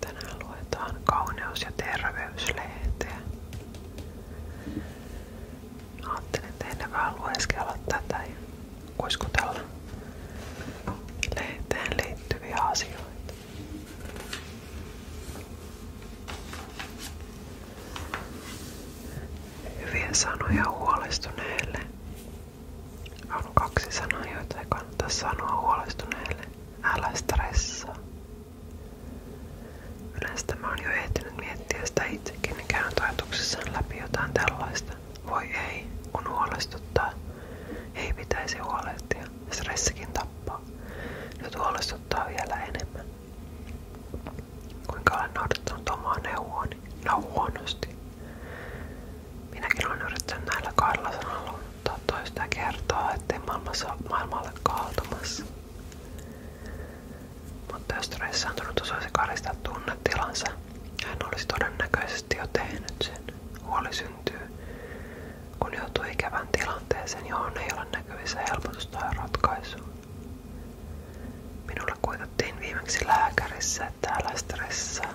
Tänään luetaan kauneus- ja terveyslehteä. Ajattelin tehdä vähän lueskella tätä ja kuiskutella lehteen liittyviä asioita. Hyviä sanoja huolestuneelle on kaksi sanaa, joita ei kannata sanoa huolestuneelle. Älä stressaa. Yleensä tämä on jo ehtinyt miettiä sitä itsekin ja niin käynyt ajatuksissaan läpi jotain tällaista. Voi ei, kun huolestuttaa. Ei pitäisi huolehtia. Stressikin tappaa. Nyt huolestuttaa vielä enemmän. Kuinka olen noudattanut omaa neuvoani? No Minäkin olen yrittänyt näillä kahdella sanalla toista kertaa, ettei maailmassa, maailma ole kaaltumassa. Mutta jos stressaantunut osaisi karistaa tunnetilansa, hän olisi todennäköisesti jo tehnyt sen. Huoli syntyy, kun joutuu ikävän tilanteeseen, johon ei ole näkyvissä helpotusta ja ratkaisua. Minulle kuitattiin viimeksi lääkärissä, että älä stressaa.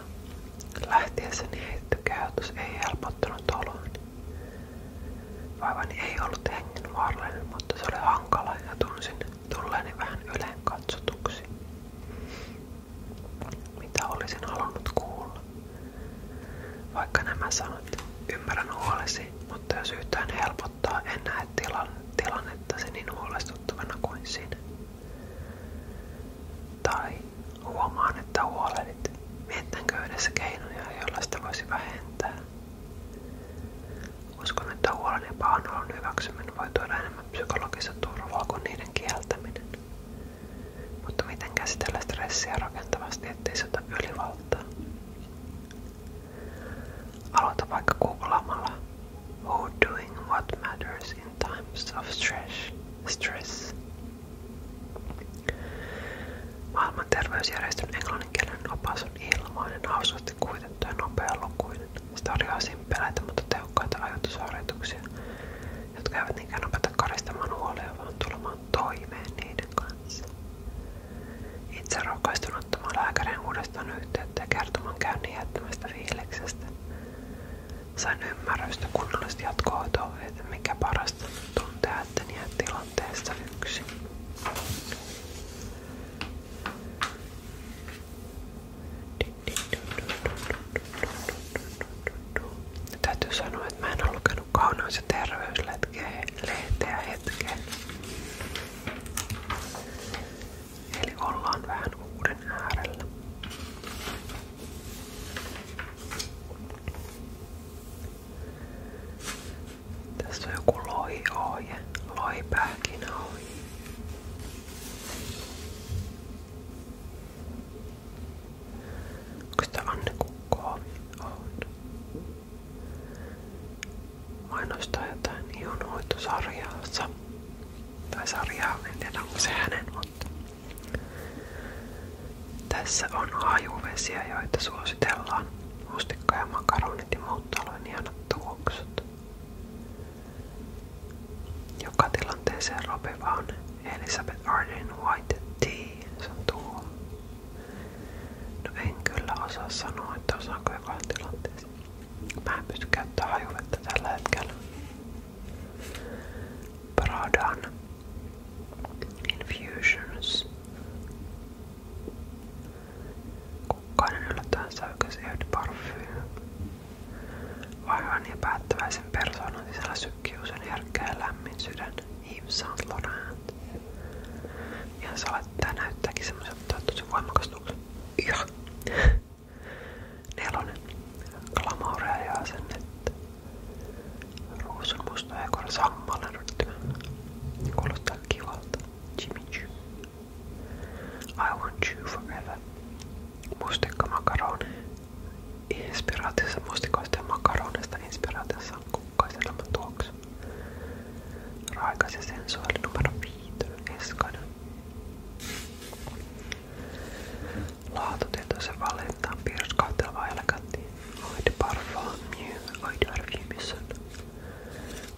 Lähtiessäni niin heitetty käytös ei helpottanut oloani. Vaivani ei ollut hengen vaarallinen, mutta se oli hankala ja tunsin tulleeni vähän yleen katsotuksi. Mitä olisin halunnut kuulla? Vaikka nämä sanot, ymmärrän huolesi, mutta jos yhtään helpottaa, en näe tilannetta se niin huolestuttavana kuin sinä. Tai huomaan, että huolehdit. Mietitänkö yhdessä keinoja, joilla sitä voisi vähentää? Uskon, että huolen ja pahoinvoinnin hyväksyminen voi tuoda enemmän psykologista turvaa kieltäminen. Mutta miten käsitellä stressiä rakentavasti, ettei se ota ylivaltaa? Aloita vaikka googlaamalla or doing what matters in times of stress. Maailman terveysjärjestön englanninkielinen opas on ilmainen, hauskasti kuitettu ja nopealukuinen. Se tarjoaa simpeleitä, mutta tehokkaita ajatusharjoituksia, jotka eivät niinkään opeta karistamaan huolia, vaan tulemaan toimeen niiden kanssa. Itse rohkaistun ottamaan lääkärin uudestaan yhteyttä ja kertomaan käynnin jättämästä fiiliksestä. Sain ymmärrystä kunnollista jatkohoitoa, että mikä parasta tuntee tehdä, etten jää tilanteessa yksin. Täytyy sanoa, että mä en ole lukenut kauneus- ja terveyslehteä hetkeä. Eli ollaan vähän uuden äärellä. Tässä on joku lohi-ohje, lohi-pähkinäohje. Onko sitä Anne Kukko-ohje? On mainostaa jotain ihonhoitosarjaansa tai sarjaa, en tiedä onko se hänen, mutta tässä on hajuvesiä, joita suositellaan. Mustikka ja makaronit ja muut talojen ihanat tuoksut. Joka tilanteeseen ropiva on Elizabeth Arden White Tea. Se on tuo. No en kyllä osaa sanoa, että osaanko joka tilanteeseen. Mä en pysty käyttämään hajuvettä tällä hetkellä. Pradan Kukkainen yllättäen säykäsi Vaivan ja päättäväisen persoonan sisällä sykkii Yves Saint Laurent. Ja se näyttääkin semmoiselta tosi voimakas tuksen ja nelonen glamouria ja asennetta. Ruusun musta ja kor sammalan rytmä. Kuulostaa Jimmy Choo. I want you forever. Mustikka makaroni. Inspiraatiossa mustikoista ja makaronista inspiraatiossa on kukkaiselämän tuoksu. Raikas. Raikas ja sensuaali numero 5. Eskanen. Laatutietoisen valettaan piirroskautteleva elegantti. Aide parfaa, mieu, aide arviimisen.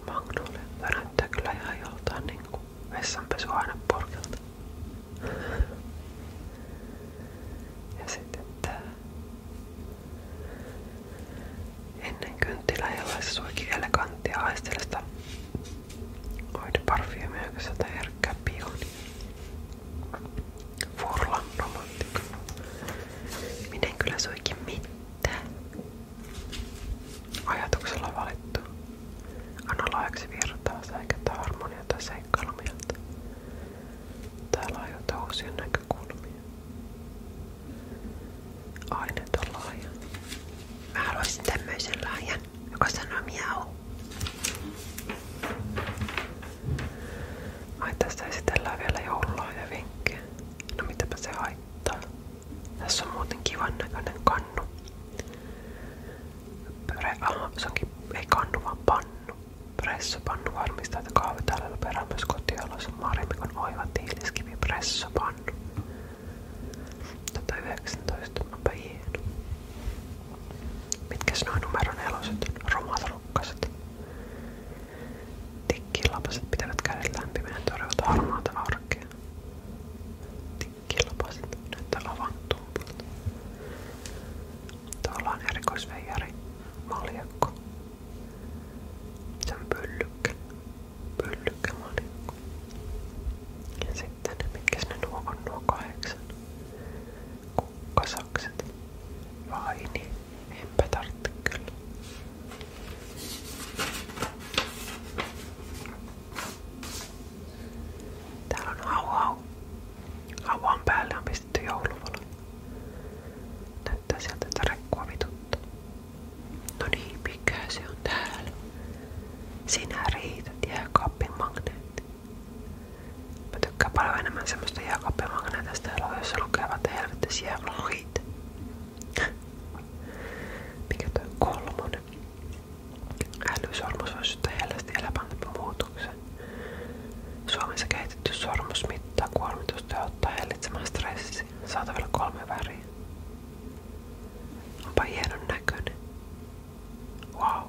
Magnolia. Tämä näyttää kyllä ihan joltain niinku vessanpesuainepurkilta. Ja sitten tää Ennen kynttilä ei ole suikin eleganttia aistelista Oide parfyymia, joka sieltä herkkää pioni. Furlan romantikko. Minä en kyllä suikin mitään. Ajatuksella valittu. Anna laajaksi virtaa, säikätä harmonia tai seikkailumieltä. Täällä ajoita uusia näkökulmia. Aineton lahja. Mä haluaisin tämmöisen lahjan, joka sanoo miau. Ai tästä esitellään vielä joululahja vinkkejä. No mitäpä se Tässä on muuten kivan näköinen kannu. Pöre, se onkin, ei vaan pannu. Pressopannu varmista tehtaita kahvitaloilla perään myös kotioloissa Marimikon oiva tiiliskivi pressopannu. 119, onpa hieno. Mitkäs noin numero neloset, rumatarukkaset? Tikkilapaset pitävät kädet lämpimään torjuvat harmaata arkea. Tikkilapaset näyttää lavan tumpulta. Tuolla on erikoisveijari, maljakko, sen pyllykkä. Pyllykkämalikko. Ja sitten, mitkä ne nuo on nuo kahdeksan? Kukkasakset. Vaini. Niin? Enpä tarvitse kyllä. Täällä on hau hau. Hauan päälle on keksitty jouluvalo. Näyttää sieltä, että rekkua vituttaa. No niin, mikä Sinä riität jääkaappin magneetti. Mä tykkään paljon enemmän semmoista jääkaappimagneetista täällä, että helvettäisi jääkaappit. Mikä toi kolmonen? Älysormus on syystä hellästi muutoksen. Suomessa kehitetty sormus mittaa kuormitusta ja auttaa hillitsemään stressiä. Saatavilla kolme väriä. Onpa hienon näköinen. Wow.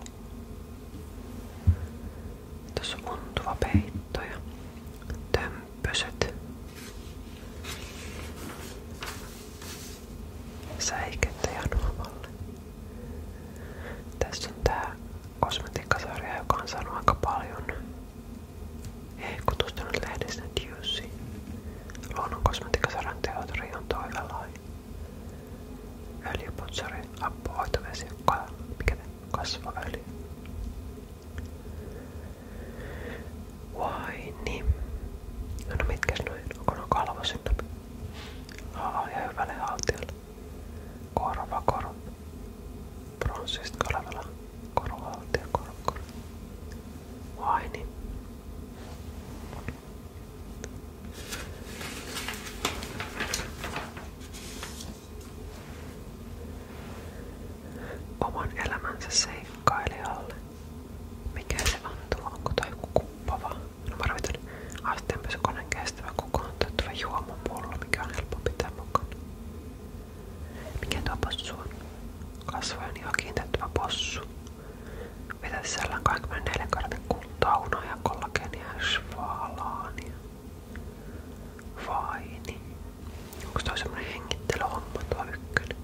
Tuossa on untuva peitto ja tömpöset. Säikettä ja nuomalle. Tässä on tää kosmetiikkasarja, joka on saanut aika paljon hehkutustunut lehdessä Juicy. Luonnon kosmetiikkasarjan teatri on toivelain. Öljyputsari, appuhoitovesi, mikä kasvaöljy. Vai niin. No, no mitkäs noin? Onko no kalvosin? Aa, ja hyvälle haltijalle. Korvakoru. Pronssista olevalla korvavaltia korvakoru. Vai niin. Oman elämänsä seikkailijalle. Mikä se on, Onko toi kuppa vaan? No mä asteenpesukoneen kestävä kokoon tuottava juomapullo, mikä on helppo pitää mukaan. Mikä tuo possu on? Kasvojen ihan kiinteättävä possu. Mitä sisällään 24 kartin kultaunoa ja kollageenia ja svalaania. Vaini. Onko toi semmonen hengittelyhomma tuo ykkönen?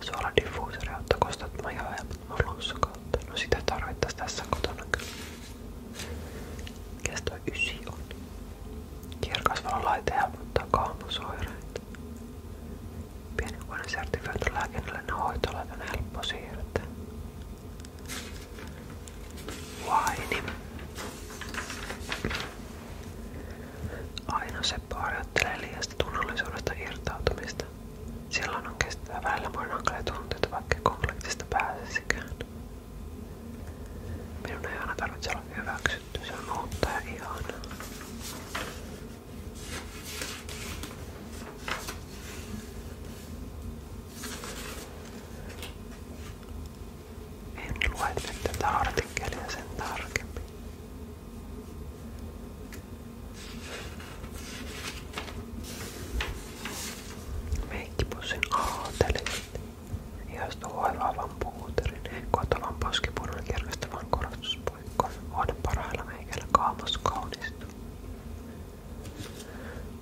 Suola diffuuseri, ottakoon sitä, että mä ihan helpot kautta. No sitä tarvittaisi tässä kotona kyllä. Mikäs toi ysi on? Kierkasvalolaite helpottaa kaamosoireita. Pienenkuinen sertifioitu lääkinnällinen hoitolaite on helppo siirtää. Vaini. Aina Seppo harjoittelee liiasta tunnollisuudesta irtautumista. Silloin on kestää välillä muiden hankalia tunteita, vaikka konfliktista pääsisikään. Minun ei aina tarvitse olla hyväksytty, se on uutta ja ihanaa. En lue nyt tätä artikkelia sen tarkemmin. Meikkipussin aatelit. Ihastu hoivaavan puuterin, kotavan poskipunan kirkastavan korostuspuikkoon. On parhailla meikällä kaamos kaunista.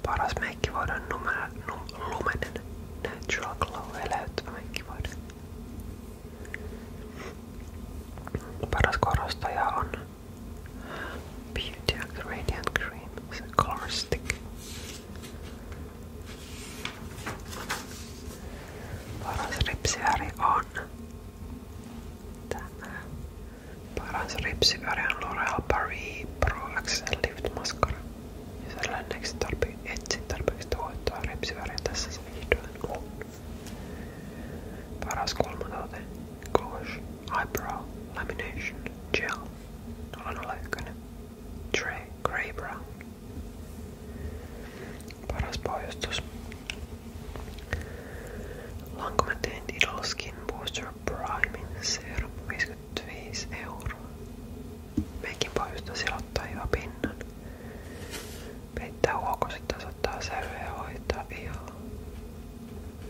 Paras meikki voidaan num, lumenen natural glow eläyttävä meikki voidaan. Paras korostaja Beauty Act Radiant Cream is a color stick. Paras ripsiväri on tämä. Paras ripsiväri on L'Oreal Paris Pro Accent Lift Mascara. Ja sellainen, eikö tarvii etsiä tarpeeksi tuottoa ripsiväriä tässä se vihdoin on. Paras kolmonote, Gouache, Eyebrow, Lamination, Gel, 001, Tray, Grey Brown. Paras pohjustus. Lankomateen Idol Skin Booster Primin Serum 55 euroa. Meikin pohjustus silottaa hyvä pinnan. Peittää huokoset tasoittaa sävyä ja hoitaa ihoa.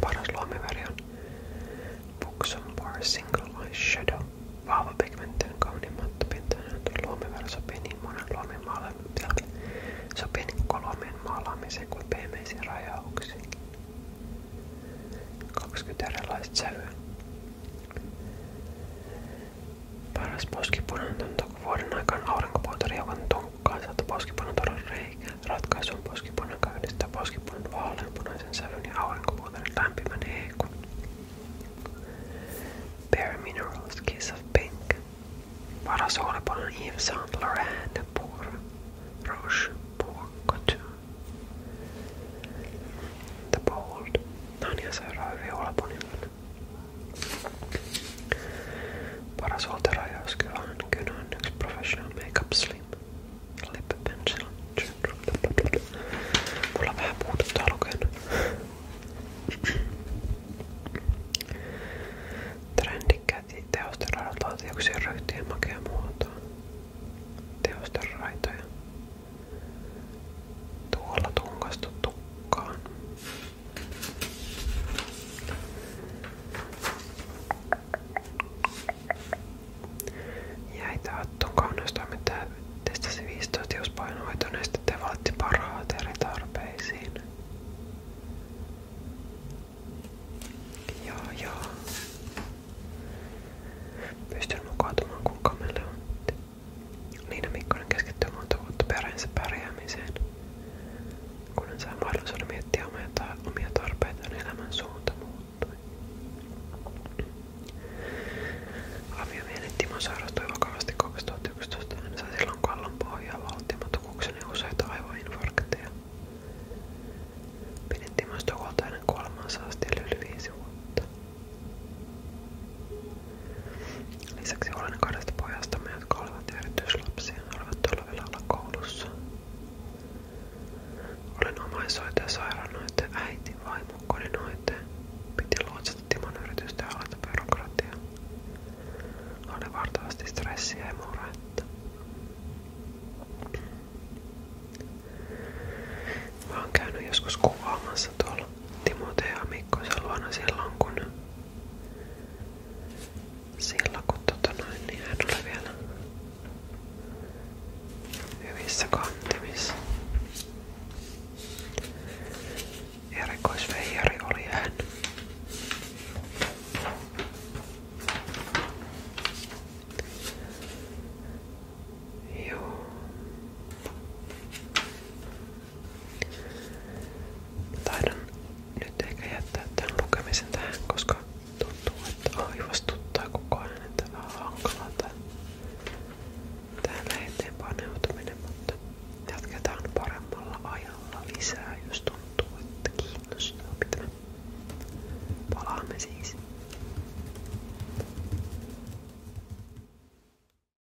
Paras luomiväri on Buxom Single Line Shadow. Vahva pigmentti on kauniin mattopintainen. Luomiväri sopii niin monen luomin maalaamiseen. Sopii niin kuin pehmeisiin rajauksiin. 20 erilaista sävyä. Paras poskipunanto on vuoden aikaan aurinkopuolta riukan tunkkaa, sieltä poskipunanto on reikä. Ratkaisu on poskipunan käynnistää poskipunnan vaaleanpunaisen sävyn ja aurinkovuotoinen lämpimän heikon. Bare Minerals Kiss of Pink. Paras olepanon Yves Saint Laurent Pour Roche Pour Couture. The Bold. Tanja seuraa hyvin olepanimella. Paras ultrajaus kyllä on, kyllä on yksi Professional Makeup Slim Lip Pencil. Mulla vähän puututtaa lukenut. Trendikkäät teosteraidat laatioksien ryhtien makea muoto. Teosteraitoja. Tuolla tunkastu tukkaan. Jäitä Attun kaunestoimittaja testasi 15 tiuspainohoitoneista niin ja valitti parhaat eri tarpeisiin. Joo, joo. Pystyn mukautumaan kuin kameleontti. Niina Mikkonen keskittyy monta vuotta perheensä pärjäämiseen. Kun hän sai mahdollisuuden miettiä omia, ta omia tarpeitaan, niin elämän suunta muuttui. Aviomielen Timo sairastui vakavasti 2011. Hän niin sai silloin kallon pohjaa valtimotukuksen ja useita aivoinfarkteja. Pidettiin myös huolta hänen kuolemansa asti yli viisi vuotta. Lisäksi olen kahdesta pojastamme, jotka olivat erityislapsia, olivat talvella olla koulussa. Olen omaishoitaja sairaanhoitaja, äiti, vaimo, kodinhoitaja. Piti luotsata Timon yritystä ja alata byrokratiaa. Oli vartavasti stressiä ja murhetta. Mä oon käynyt joskus kuvaamassa tuolla Timoteen ja Mikkosen luona silloin, kun silloin kun tota noin, niin hän oli vielä hyvissä kantimissa. Erikoisveijari oli hän. Joo. Taidan nyt ehkä jättää tämän lukemisen tähän, koska tuntuu, että aivastuttaa koko ajan, että vähän hankalaa tää, täällä eteen paneutuminen, mutta jatketaan paremmalla ajalla lisää, jos tuntuu, että kiinnostaa pitää. Palaamme siis.